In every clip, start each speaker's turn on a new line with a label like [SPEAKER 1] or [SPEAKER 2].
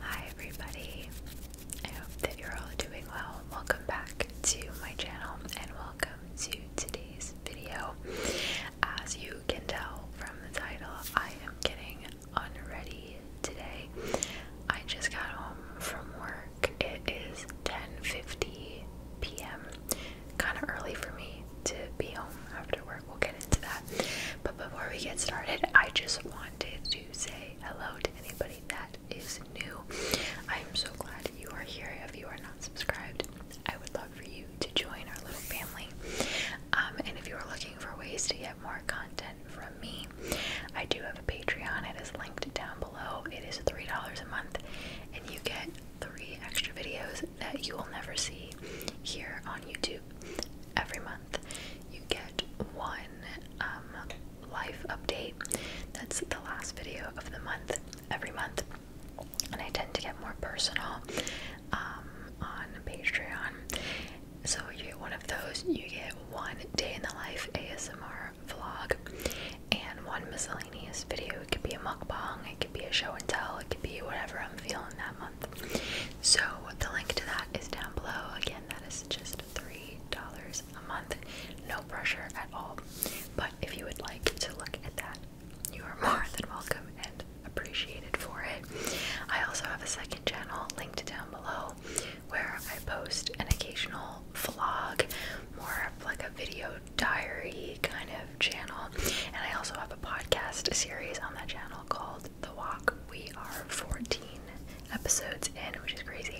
[SPEAKER 1] Hi everybody, I hope that you're all doing well. Welcome back to my channel and welcome to today's video. As you can tell from the title, I am getting unready today. I just got home from work. It is 10.50 p.m. Kind of early for me to be home after work. We'll get into that. But before we get started, I just want to say hello to anybody that is new. I am so glad you are here. If you are not subscribed, I would love for you to join our little family. Um, and if you are looking for ways to get more content from me, I do have a Patreon. It is linked down below. It is $3 a month, and you get three extra videos that you will never see here on YouTube every month. You get one um, life update. That's the last video of the month every month, and I tend to get more personal um, on Patreon. So you get one of those. You get one day in the life ASMR vlog and one miscellaneous video. It could be a mukbang. It could be a show and tell. It could be whatever I'm feeling that month. So the link to that is down below. Again, that is just three dollars a month. No pressure at all. But if you would like to look at that, you are more than welcome and appreciated for it. I also have a second channel linked down below where I post an occasional vlog, more of like a video diary kind of channel. And I also have a podcast series on that channel called the walk. We are 14 episodes in, which is crazy.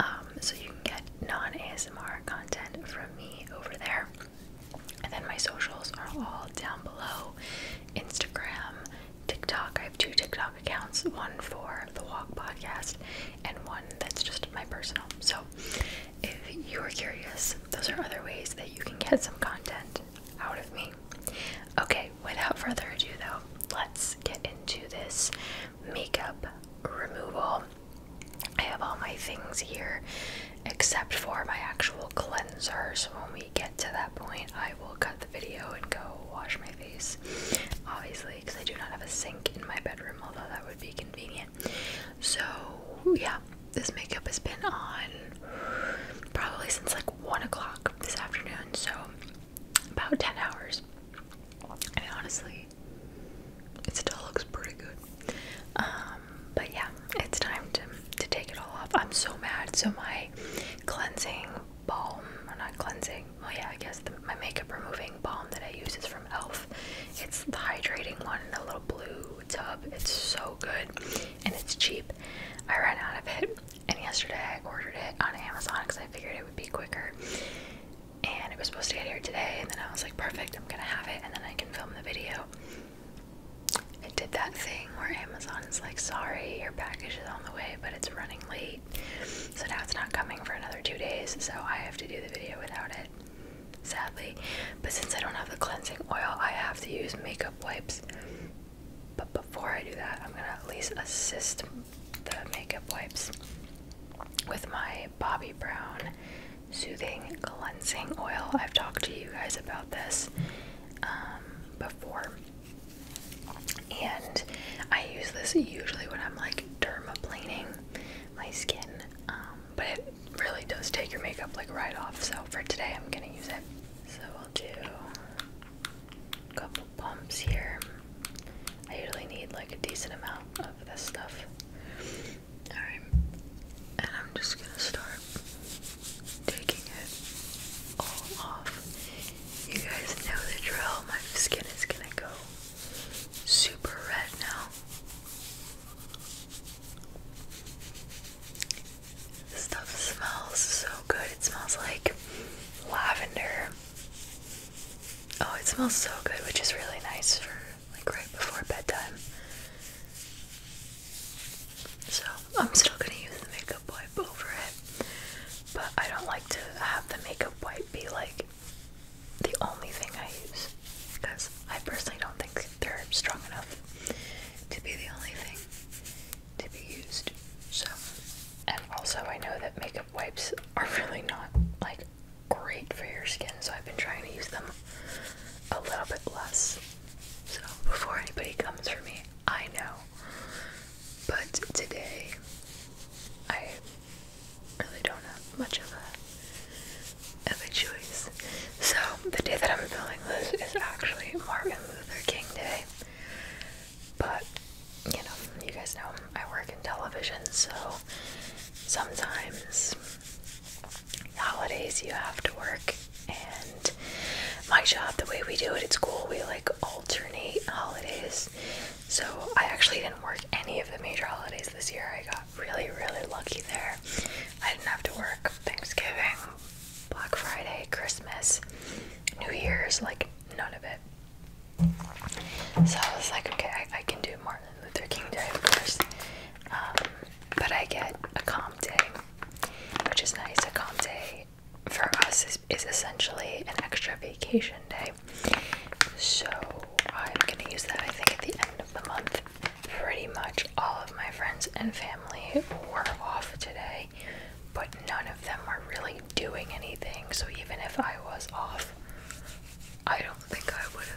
[SPEAKER 1] Um, so you can get non ASMR content from me over there. And then my socials are all down below Instagram, TikTok. I have two TikTok accounts one for the Walk podcast and one that's just my personal. So if you're curious, those are other ways that you can get some content out of me. Okay, without further ado, though, let's get into this makeup removal. I have all my things here except for my actual cleansers. when we get to that point, I will cut the video and go wash my face. Obviously, because I do not have a sink in my bedroom, although that would be convenient. So, yeah, this makeup has been on probably since like one o'clock this afternoon, so about 10 hours. And honestly, it still looks pretty good. Um, but yeah, it's time to, to take it all off. I'm so mad. So, my cleansing balm, or not cleansing, Oh yeah, I guess my makeup removing balm that I use is from e.l.f. It's the hydrating one in a little blue tub. It's so good and it's cheap. I ran out of it, and yesterday I ordered it on Amazon because I figured it would be quicker. And it was supposed to get here today, and then I was like, perfect, I'm gonna have it, and then I can film the video. It did that thing where Amazon is like, sorry, your package is on the way, but it's running late. So now it's not coming for another two days, so I have to do the video without it, sadly. But since I don't have the cleansing oil, I have to use makeup wipes. But before I do that, I'm gonna at least assist the makeup wipes with my Bobbi Brown Soothing Cleansing Oil. I've talked to you guys about this um, before. And I use this usually when I'm like dermaplaning my skin, um, but it really does take your makeup like right off. So for today, I'm gonna use it. So we'll do a couple pumps here. I usually need like a decent amount of this stuff. Alright. And I'm just gonna start taking it all off. You guys know the drill. My skin is gonna go super red now. This stuff smells so good. It smells like lavender. Oh, it smells so good, which is really nice for like right before bedtime. So I'm still gonna use the makeup wipe over it, but I don't like to have the makeup wipe be like the only thing I use because I personally don't think they're strong enough to be the only thing to be used. So, and also I know that makeup wipes are really not like great for your skin, so I've been trying to use them a little bit less. So, before anybody comes for me, I know. But today, I really don't have much of a of a choice. So, the day that I'm filming this is actually Martin Luther King Day. But, you know, you guys know I work in television, so sometimes holidays you have to work. And my job, the way we do it at school, we like alternate holidays. So, I actually didn't work any of the major holidays this year. I got really, really lucky there. I didn't have to work Thanksgiving, Black Friday, Christmas, New Year's, like none of it. So I was like, okay, I, can do Martin Luther King Day, of course, um, but I get a comp day, which is nice. A comp day for us is essentially an extra vacation day. So I'm gonna use that, I think, at the end of the month pretty much all of my friends and family were off today, but none of them are really doing anything. So even if I was off, I don't think I would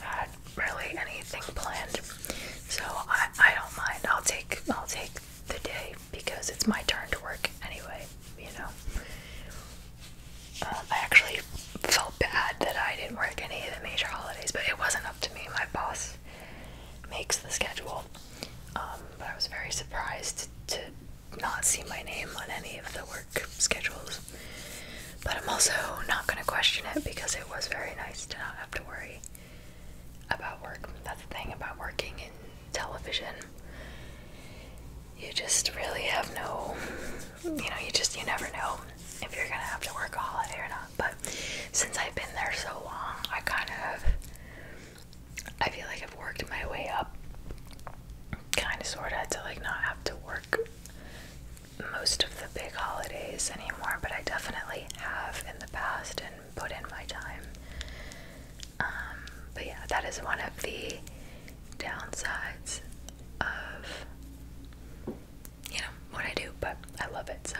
[SPEAKER 1] have had really anything planned. So I, I don't mind. I'll take I'll take the day because it's my turn to work anyway, you know. Um, I actually felt bad that I didn't work any of the major holidays, but it wasn't up to me. My boss makes the schedule. Um, but I was very surprised to not see my name on any of the work schedules. But I'm also not going to question it because it was very nice to not have to worry about work. That's the thing about working in television you just really have no, you know, you just, you never know if you're gonna have to work a holiday or not. But since I've been there so long, I kind of, I feel like I've worked my way up, kind of, sort of, to like not have to work most of the big holidays anymore. But I definitely have in the past and put in my time. Um, but yeah, that is one of the downsides of you know what I do, but I love it. So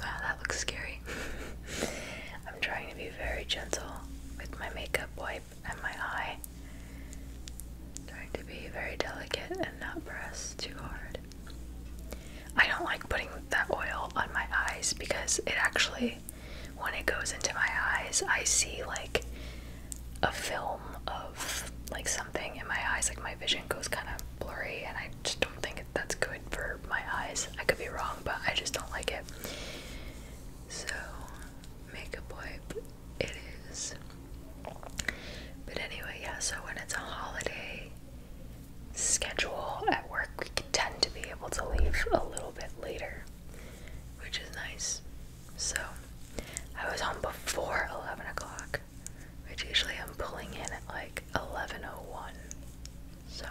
[SPEAKER 1] wow, that looks scary. I'm trying to be very gentle with my makeup wipe and my eye. Trying to be very delicate and not press too hard. I don't like putting that oil on my eyes because it actually, when it goes into my eyes, I see like a film of like something in my eyes, like my vision goes kind of blurry, and I just don't think that's good for my eyes. I could be wrong, but I just don't like it. So, makeup wipe it is. But anyway, yeah, so when it's a holiday schedule at work, we tend to be able to leave a little bit later, which is nice. So I was home before 11 o'clock, which usually I'm pulling in at like oh one. So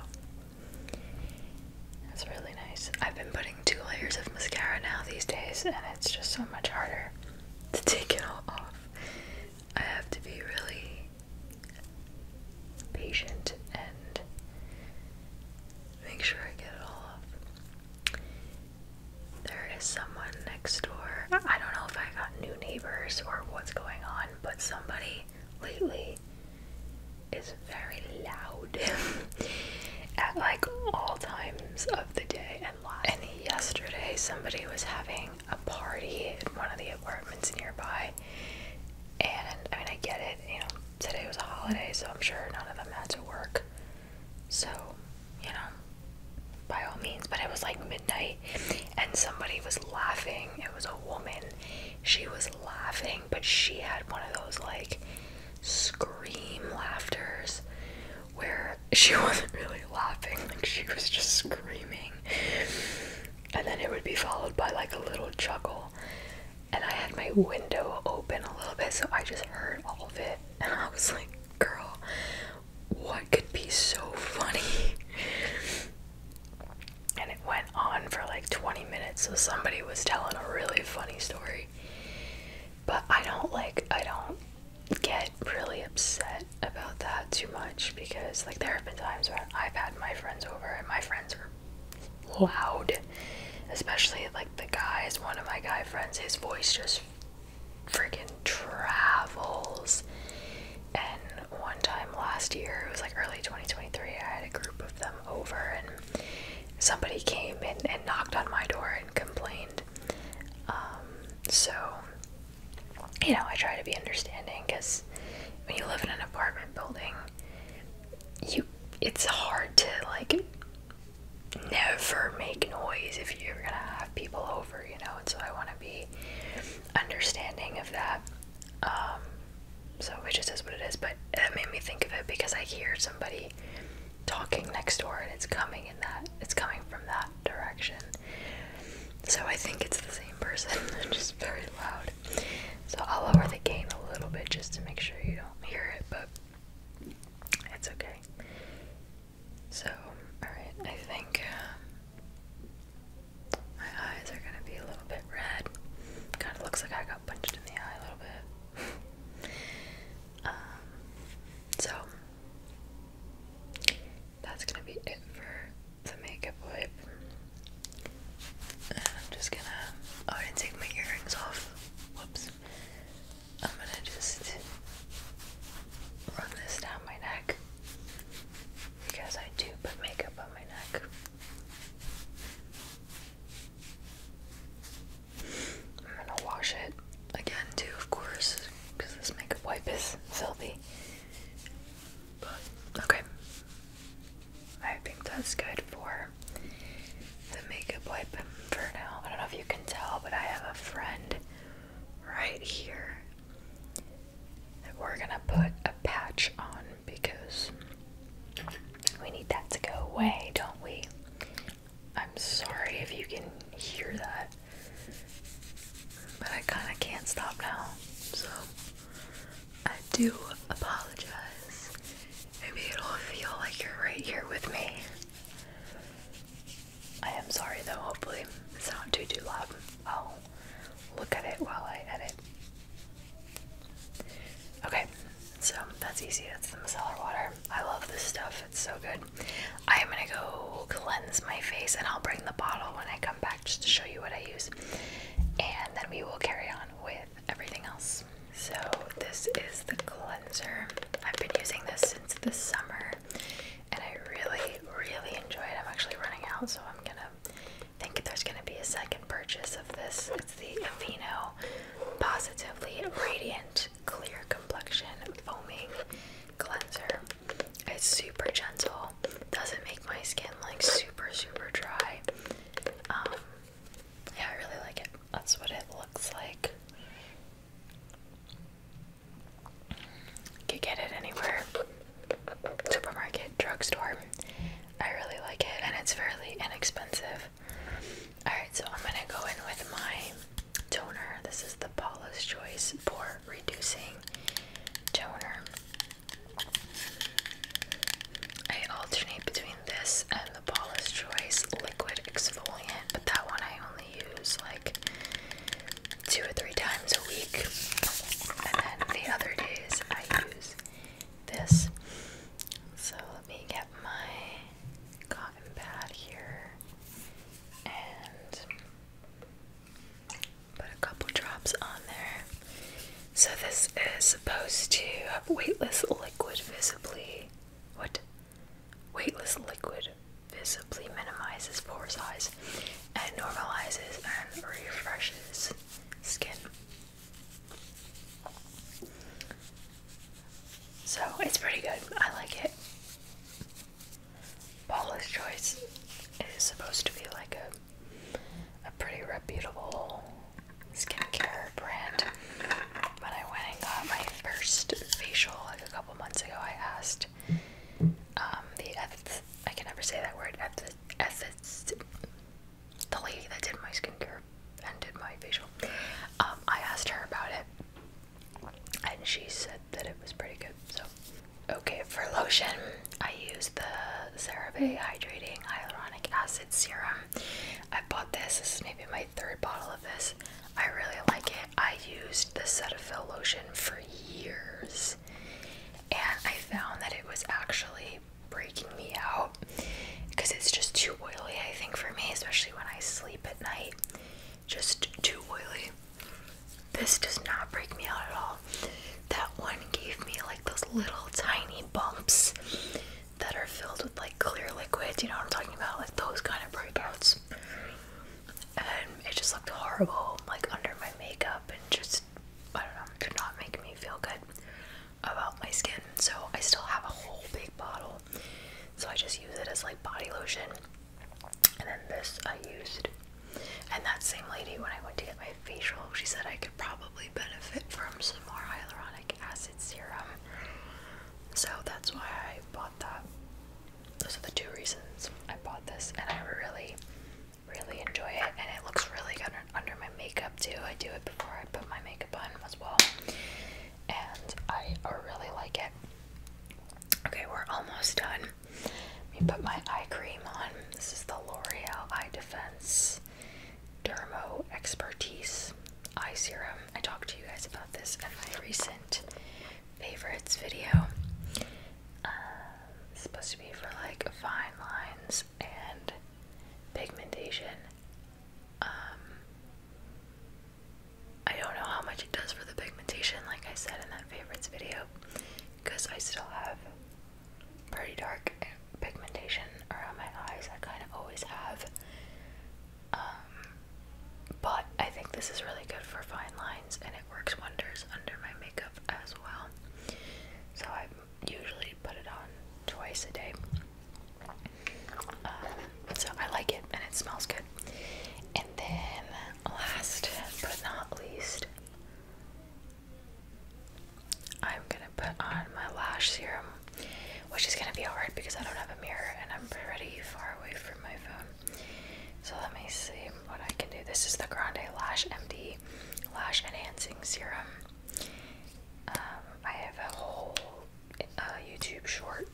[SPEAKER 1] that's really nice. I've been putting two layers of mascara now these days, and it's just so much harder to take it all off. I have to be really patient and make sure I get it all off. There is someone next door. I don't know if I got new neighbors or what's going on, but somebody lately is very loud at like all times of the day and lot. And yesterday, somebody was having a party in one of the apartments nearby. And I mean, I get it, you know, today was a holiday, so I'm sure none of them had to work. So, you know, by all means. But it was like midnight and somebody was laughing. It was a woman. She was laughing, but she had one of those like scream laughters where she wasn't really laughing, like she was just screaming. And then it would be followed by like a little chuckle and I had my window open a little bit, so I just heard all of it, and I was like, girl, what could be so funny? and it went on for like 20 minutes, so somebody was telling a really funny story. But I don't like, I don't get really upset about that too much because, like, there have been times when I've had my friends over and my friends are loud, especially like the guys. One of my guy friends, his voice just freaking travels. And one time last year, it was like early 2023, I had a group of them over, and somebody came and, and knocked on my door and complained. Um, so, you know, I try to be understanding because when you live in an apartment building, you it's hard to like never make noise if you're gonna have people over, you know, and so I want to be understanding of that. Um, so it just is what it is, but that made me think of it because I hear somebody talking next door and it's coming in that, it's coming from that direction. So I think it's the same person, just very loud. So I'll lower the gain a little bit just to make sure you don't hear it, but it's okay. So, alright, I think uh, my eyes are gonna be a little bit red. Kinda looks like I got punched in the eye a little bit. um, so, that's gonna be it for the makeup wipe. And I'm just gonna. Oh, I didn't take my earrings off. Whoops. I'm gonna just run this down my neck because I do put makeup on my neck. I'm gonna wash it again, too, of course, because this makeup wipe is filthy. But, okay. I think that's good for the makeup wipe for now. I don't know if you can tell, but I have a friend right here that we're gonna put a patch on because we need that to go away, don't we? I'm sorry if you can hear that, but I kind of can't stop now, so I do apologize. Maybe it'll feel like you're right here with me. I am sorry though, hopefully it's not too too loud. Oh, look at it while I edit. Okay, so that's easy. That's the micellar water. I love this stuff. It's so good. I am gonna go cleanse my face, and I'll bring the bottle when I come back just to show you what I use. And then we will carry on with everything else. So, this is the cleanser. I've been using this since the summer and I really, really enjoy it. I'm actually running out, so I'm gonna think there's gonna be a second purchase of this. It's the Aveeno Positively Radiant Clear Complexion Foaming Cleanser. It's super gentle, doesn't make my skin like super, super dry. Um, yeah, I really like it. That's what it looks like. You can get it anywhere. Supermarket, drugstore. I really like it and it's fairly inexpensive. Alright, so I'm gonna go in with my toner. This is the Paula's Choice for Reducing Toner. I alternate between this and the Paula's Choice liquid exfoliant, but that one I only use like two or three times a week. And then the other days I use this. So let me get my cotton pad here and put a couple drops on there. So this is supposed to have weightless liquid visibly. What? Weightless liquid visibly minimizes pore size and normalizes and refreshes skin. So it's pretty good. I like it. Paula's Choice is supposed to be like a a pretty reputable skincare brand. When I went and got my first facial a couple months ago, I asked um, the I can never say that word eth eth the lady that did my skincare and did my facial. Um, I asked her about it, and she said that it was pretty good. So, okay, for lotion, I use the CeraVe Hydrating Hyaluronic Acid Serum. I bought this. This is maybe my third bottle of this. I really like it. I used the Cetaphil lotion for years and I found that it was actually breaking me out because it's just too oily, I think, for me, especially when I sleep at night. Just too oily. This does not break me out at all. That one gave me like those little tiny bumps that are filled with like clear liquids, you know what I'm talking about? Like those kind of breakouts. And it just looked horrible, like under my makeup, and just, I don't know, could not make me feel good about my skin. So I still have a whole big bottle. So I just use it as like body lotion. And then this I used. And that same lady, when I went to get my facial, she said I could probably benefit from some more hyaluronic acid serum. So that's why I bought that. Those are the two reasons I bought this, and I really, really enjoy it. And it looks really good under my makeup, too. I do it before I put my makeup on as well. And I really like it. Okay, we're almost done. Let me put my eye cream on. This is the L'Oreal Eye Defense dermo expertise eye serum. I talked to you guys about this in my recent favorites video. Uh, supposed to be for like fine lines and pigmentation. Um, I don't know how much it does for the pigmentation, like I said in that favorites video, because I still have pretty dark pigmentation around my eyes. I kind of always have. Um, but I think this is really good for fine lines and it works wonders under my makeup as well. So I usually put it on twice a day. Um, so I like it and it smells good. And then, last but not least, I'm gonna put on my lash serum, which is gonna be hard because I don't have a mirror and I'm pretty far away from my phone. So let me see what I can do. This is the Grande Lash MD Lash Enhancing Serum. Um, I have a whole uh, YouTube short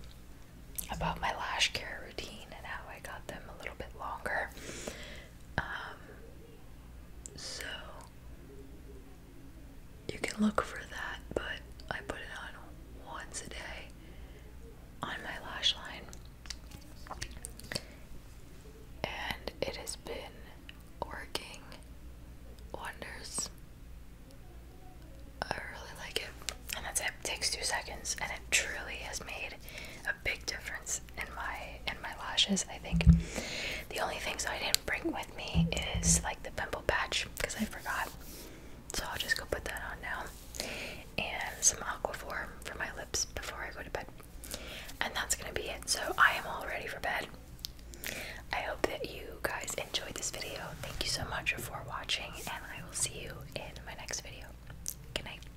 [SPEAKER 1] about my lash care routine and how I got them a little bit longer. Um, so you can look for that, but I put it on once a day on my lash line. And it has been working wonders. I really like it. And that's it. it takes two seconds and it truly has made a big difference and my and my lashes. I think the only thing that I didn't bring with me is like the pimple patch because I forgot. So I'll just go put that on now, and some Aquaphor for my lips before I go to bed. And that's gonna be it. So I am all ready for bed. I hope that you guys enjoyed this video. Thank you so much for watching, and I will see you in my next video. Good night.